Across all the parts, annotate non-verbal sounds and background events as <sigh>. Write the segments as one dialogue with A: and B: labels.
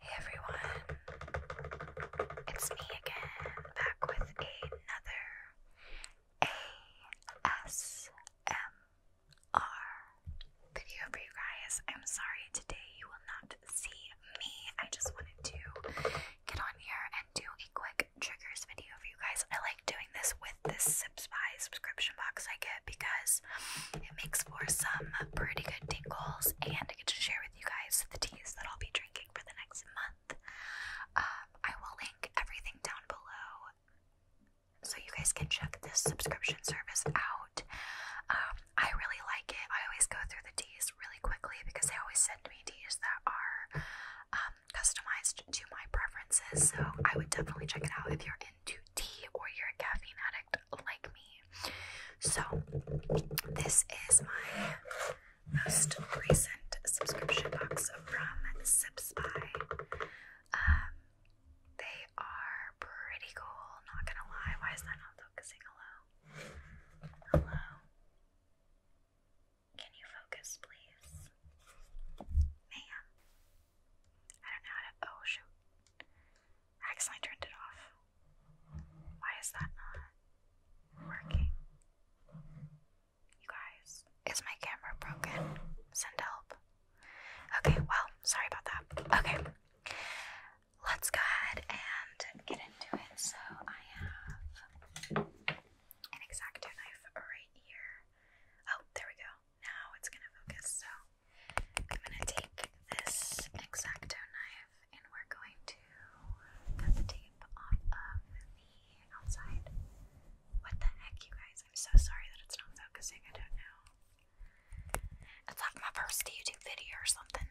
A: Hey everyone, it's me again, back with another ASMR video for you guys. I'm sorry today you will not see me. I just wanted to get on here and do a quick triggers video for you guys. I like doing this with this Spy subscription box I get because it makes for some pretty good tingles, and I get to share with you guys the teas that I'll be drinking for the next month. Um, I will link everything down below so you guys can check this subscription service out. Um, I really like it. I always go through the teas really quickly because they always send me teas that are um, customized to my preferences. So I would definitely check it out if you're into you tea or you're a caffeine addict like me. So, this is my most recent subscription box from Sipspy. Um, they are pretty cool, not gonna lie. Why is that not focusing? Hello? Hello? Can you focus, please? Ma'am. I don't know how to. Oh shoot! I accidentally turned it off. Why is that not working? You guys, is my camera broken? Send help. Okay, well, sorry about that. Okay, let's go ahead and get into it. So I have an exacto knife right here. Oh, there we go. Now it's gonna focus. So I'm going to take this x knife and we're going to cut the tape off of the outside. What the heck, you guys? I'm so sorry that it's not focusing. I don't know. It's like my first YouTube video or something.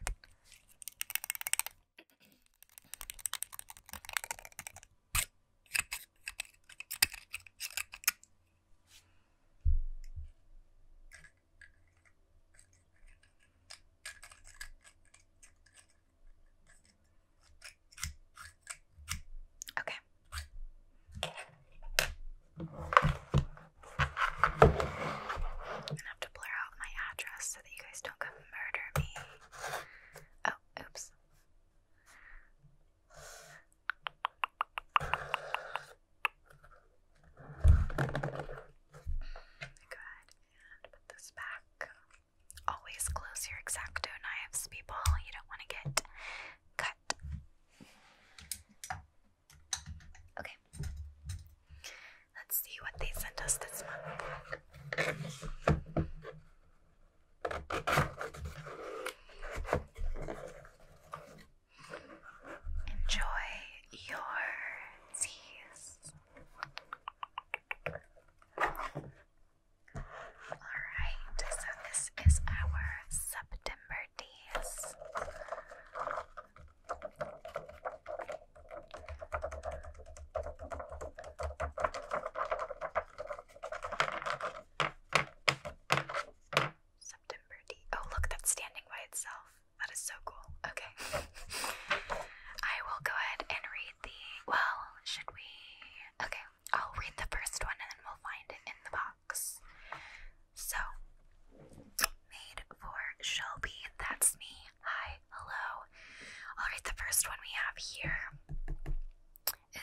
A: Okay. I'm gonna have to blur out my address so that you guys don't come murder me. Oh, oops. Go ahead and put this back. Always close your exacto knives, people. You don't want to get cut. Okay. Let's see what they sent us this month. Enjoy your teas. Alright, so this is our September teas. September D. Oh, look, that's standing by itself. That is so cool. Okay. <laughs> I will go ahead and read the. Well, should we? Okay, I'll read the first one and then we'll find it in the box. So, made for Shelby. That's me. Hi, hello. i the first one we have here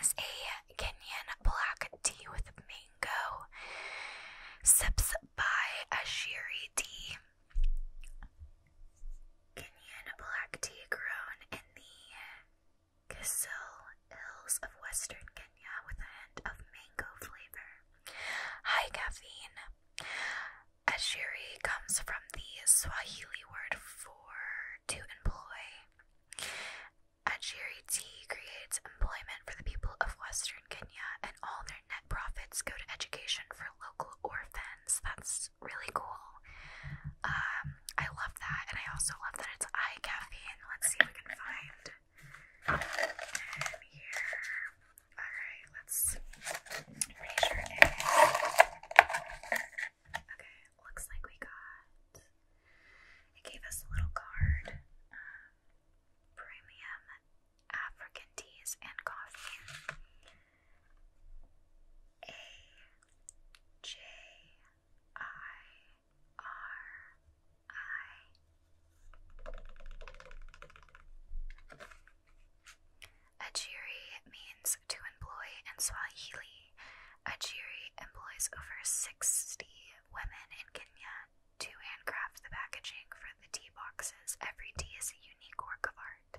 A: is a Kenyan black tea with mango. Sips by Ashiri Tea. Kenyan black tea grown in the Kisal Hills of western Kenya with a hint of mango flavor. High caffeine. Ashiri comes from the Swahili word for to employ. Ajiri T creates employment for the people of Western Kenya, and all their net profits go to education for local orphans. That's really cool. Um, I love that, and I also love that it's eye caffeine. Let's see if we can find here. All right, let's. Pretty sure Okay looks like we got it gave us a little card. Um, premium African teas and coffee. A J I R I Ajiri means to employ in Swahili. Ajiri employs over 60 women in Kenya to handcraft the packaging for the tea boxes. Every tea is a unique work of art.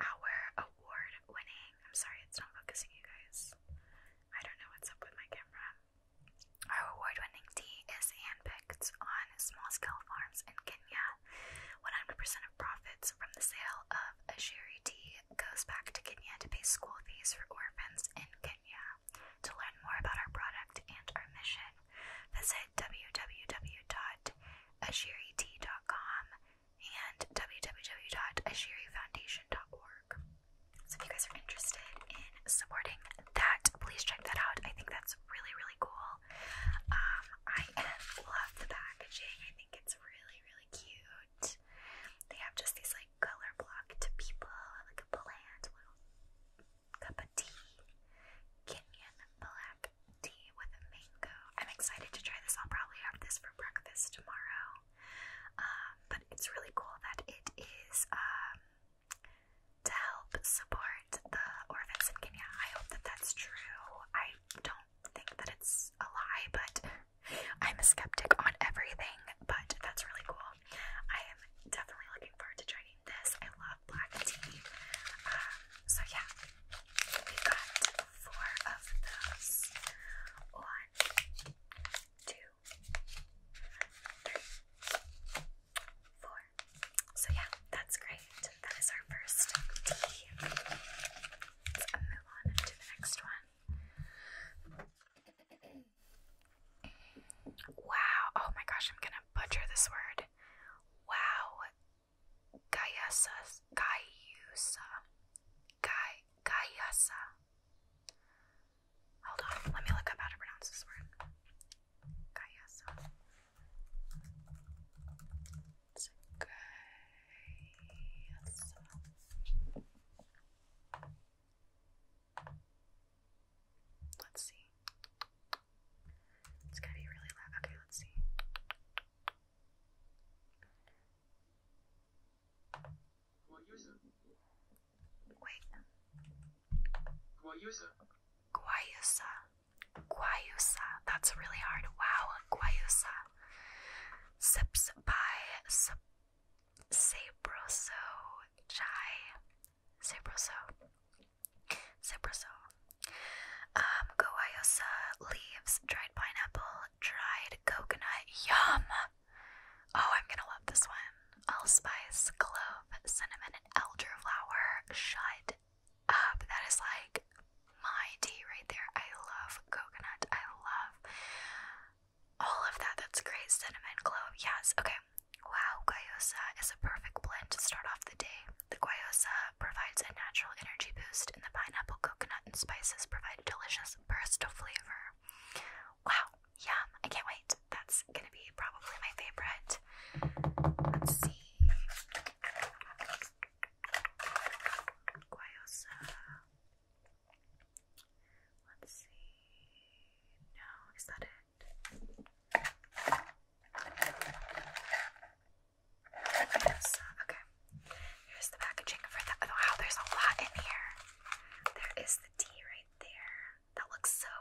A: Our award winning, I'm sorry, it's not focusing, you guys. I don't know what's up with my camera. Our award winning tea is handpicked on small scale farms in Kenya. 100% of profits from the sale of of T goes back to Kenya to pay school fees for orphans in Kenya. To learn more about our product and our mission, visit www.ashiriti.com and www.ashirifoundation.org. So, if you guys are interested in supporting that, please check that out. I think that's really, really cool. Um, I love the packaging, I think it's really, really cute. They have just these like color blocked people, like a bland cup of tea. Kenyan black tea with mango. I'm excited to try this. I'll probably have this for breakfast tomorrow. Um, but it's really cool that it is um, to help support the orphans in Kenya. I hope that that's true. I don't think that it's a lie, but I'm a skeptic on everything, but that's really cool. I am definitely looking forward to trying this. I love black tea. Um, so yeah, we got four of those. One, two, three, four. So yeah, that's great. That is our first tea. Let's move on to the next one. Wow. Oh my gosh, I'm gonna butcher this word. Wow. Gaiusa. Gaiusa. Gai Gaiusa. Hold on, let me look up how to pronounce this word. Gaiusa. Let's see. It's gonna be really loud. Okay, let's see. Wait. Guayusa. Guayusa. Guayusa. That's really hard. Wow, Guayusa. Sips by Sabroso chai. Sabroso. Sabroso. Um, goayosa leaves, dried pineapple, dried coconut. Yum! Oh, I'm gonna love this one. Allspice, clove, cinnamon, elderflower. Shut up. That is like my tea right there. I love coconut. I love all of that. That's great. Cinnamon, glow, yes. Okay. Wow, guayosa is a perfect blend to start off the day. The guayosa provides a natural energy boost, and the pineapple, coconut, and spices provide a delicious burst of flavor. Wow, yum! I can't wait. That's gonna be probably my favorite. Let's see. Guayosa. Let's see. No, is that it? okay. Here's the packaging for that. Oh, wow, there's a lot in here. There is the tea right there. That looks so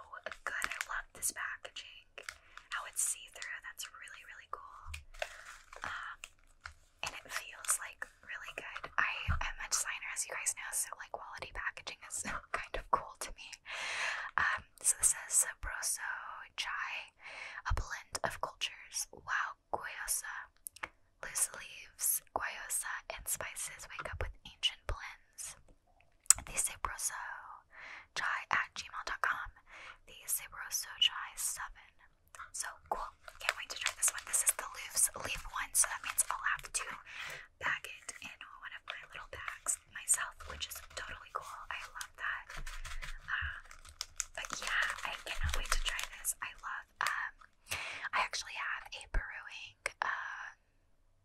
A: good. I love this packaging. How it's see through. That's really, really cool. Um, and it feels like really good. I am a designer, as you guys know, so like quality packaging is <laughs> kind of cool to me. Um, so this is Sabroso Chai, a blend of cultures. Wow, guayusa, loose leaves, guayusa, and spices wake up with ancient blends. The Sabroso Chai at gmail.com. The Sabroso Chai 7 so cool. Can't wait to try this one. This is the Louv's leaf one, so that means I'll have to bag it in one of my little bags myself, which is totally cool. I love that. Um, but yeah, I cannot wait to try this. I love, um, I actually have a brewing uh,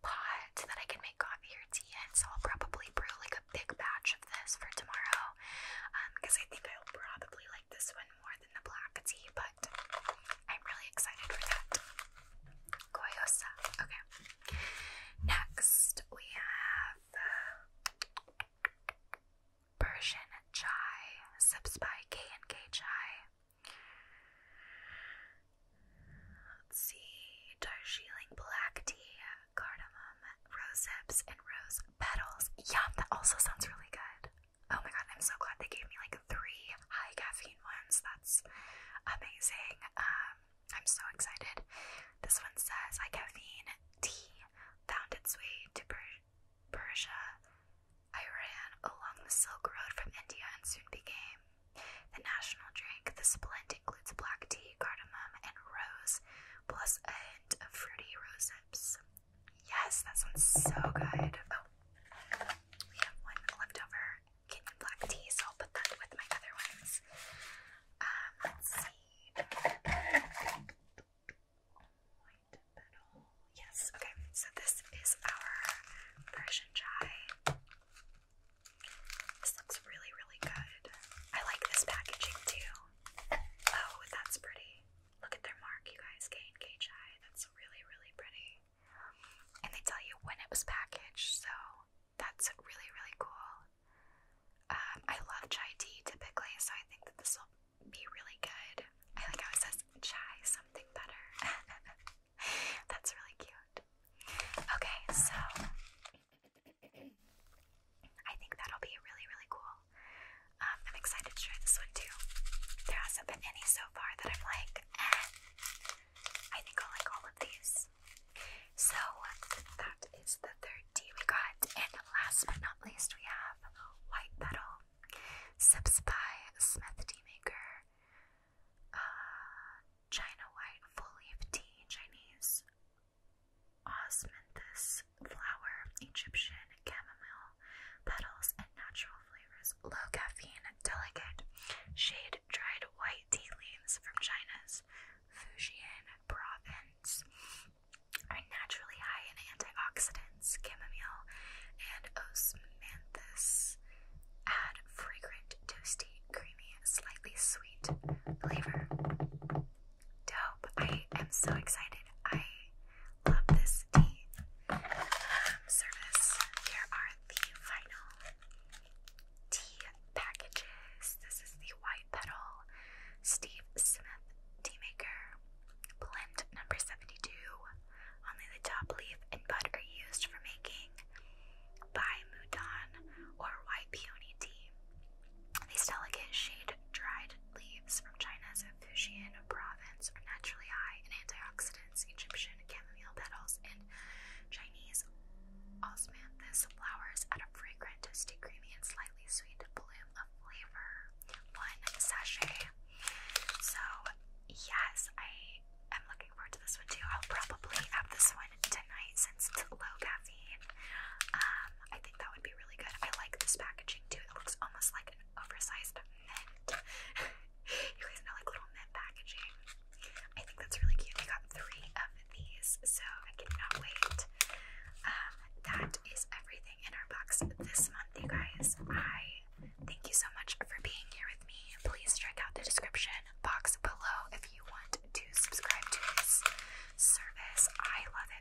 A: pot that I can make coffee or tea in, so I'll probably brew like a big batch of this for tomorrow because um, I think I'll probably like this one more than the black tea, but I'm really excited for that. Goyosa. Okay. Next, we have Persian chai, sips by K and K Chai. Let's see, Darjeeling black tea, cardamom, rose hips, and rose petals. Yum, that also sounds really good. Oh my god, I'm so glad they gave me like three high caffeine ones. That's amazing. Um, I'm so excited. This one says high caffeine tea found its way to per Persia, Iran, along the Silk Road from India, and soon became the national drink. The splint includes black tea, cardamom, and rose, plus a hint of fruity rose hips. Yes, that sounds so good. Oh, we have one leftover Kenyan black tea, so I'll put that with my other ones. Um, let's see. White petal. Yes, okay, so this is our Persian chai. This looks really, really good. I like this packaging too. Oh, that's pretty. Look at their mark, you guys, K and KHI. That's really, really pretty. And they tell you when it was packaged, so that's really, really cool. Um, I love chai tea typically, so I think that this will be really good. I like how it says chai something better. <laughs> that's really cute. Okay, so I think that'll be really, really cool. Um, I'm excited to try this one too. There hasn't been any so far that I'm like, eh, I think I'll like all of these. So that is the third tea we got. And last but not least, we have White Petal Sips by Smith Tea Maker. Uh, China White Full Leaf Tea Chinese Osmanthus leaves, flower, Egyptian, chamomile, petals, and natural flavors. Low caffeine, delicate. Shade dried white tea leaves from China's Fujian province are naturally high in antioxidants. Chamomile and osmanthus add fragrant, toasty, creamy, slightly sweet flavor. Dope. I am so excited. I love this tea um, service. Here are the final tea packages. This is the White Petal Steve Smith Tea Maker Blend number 72. Only the top leaf and bud are used for making by Mouton or white peony tea. These delicate shade dried leaves from China. Fujian province are naturally high in antioxidants. Egyptian chamomile petals and Chinese osmanthus flowers add a fragrant, toasty, creamy, and slightly sweet bloom of flavor. One sachet. So, yes, I am looking forward to this one too. I'll probably have this one tonight since it's low caffeine. Um, I think that would be really good. I like this packaging too. It looks almost like an oversized mint. <laughs> you guys know, like little mint packaging. I think that's really cute. We got three of these, so I cannot wait. Um, that is everything in our box this month, you guys. I thank you so much for being here with me. Please check out the description box below if you want to subscribe to this service. I love it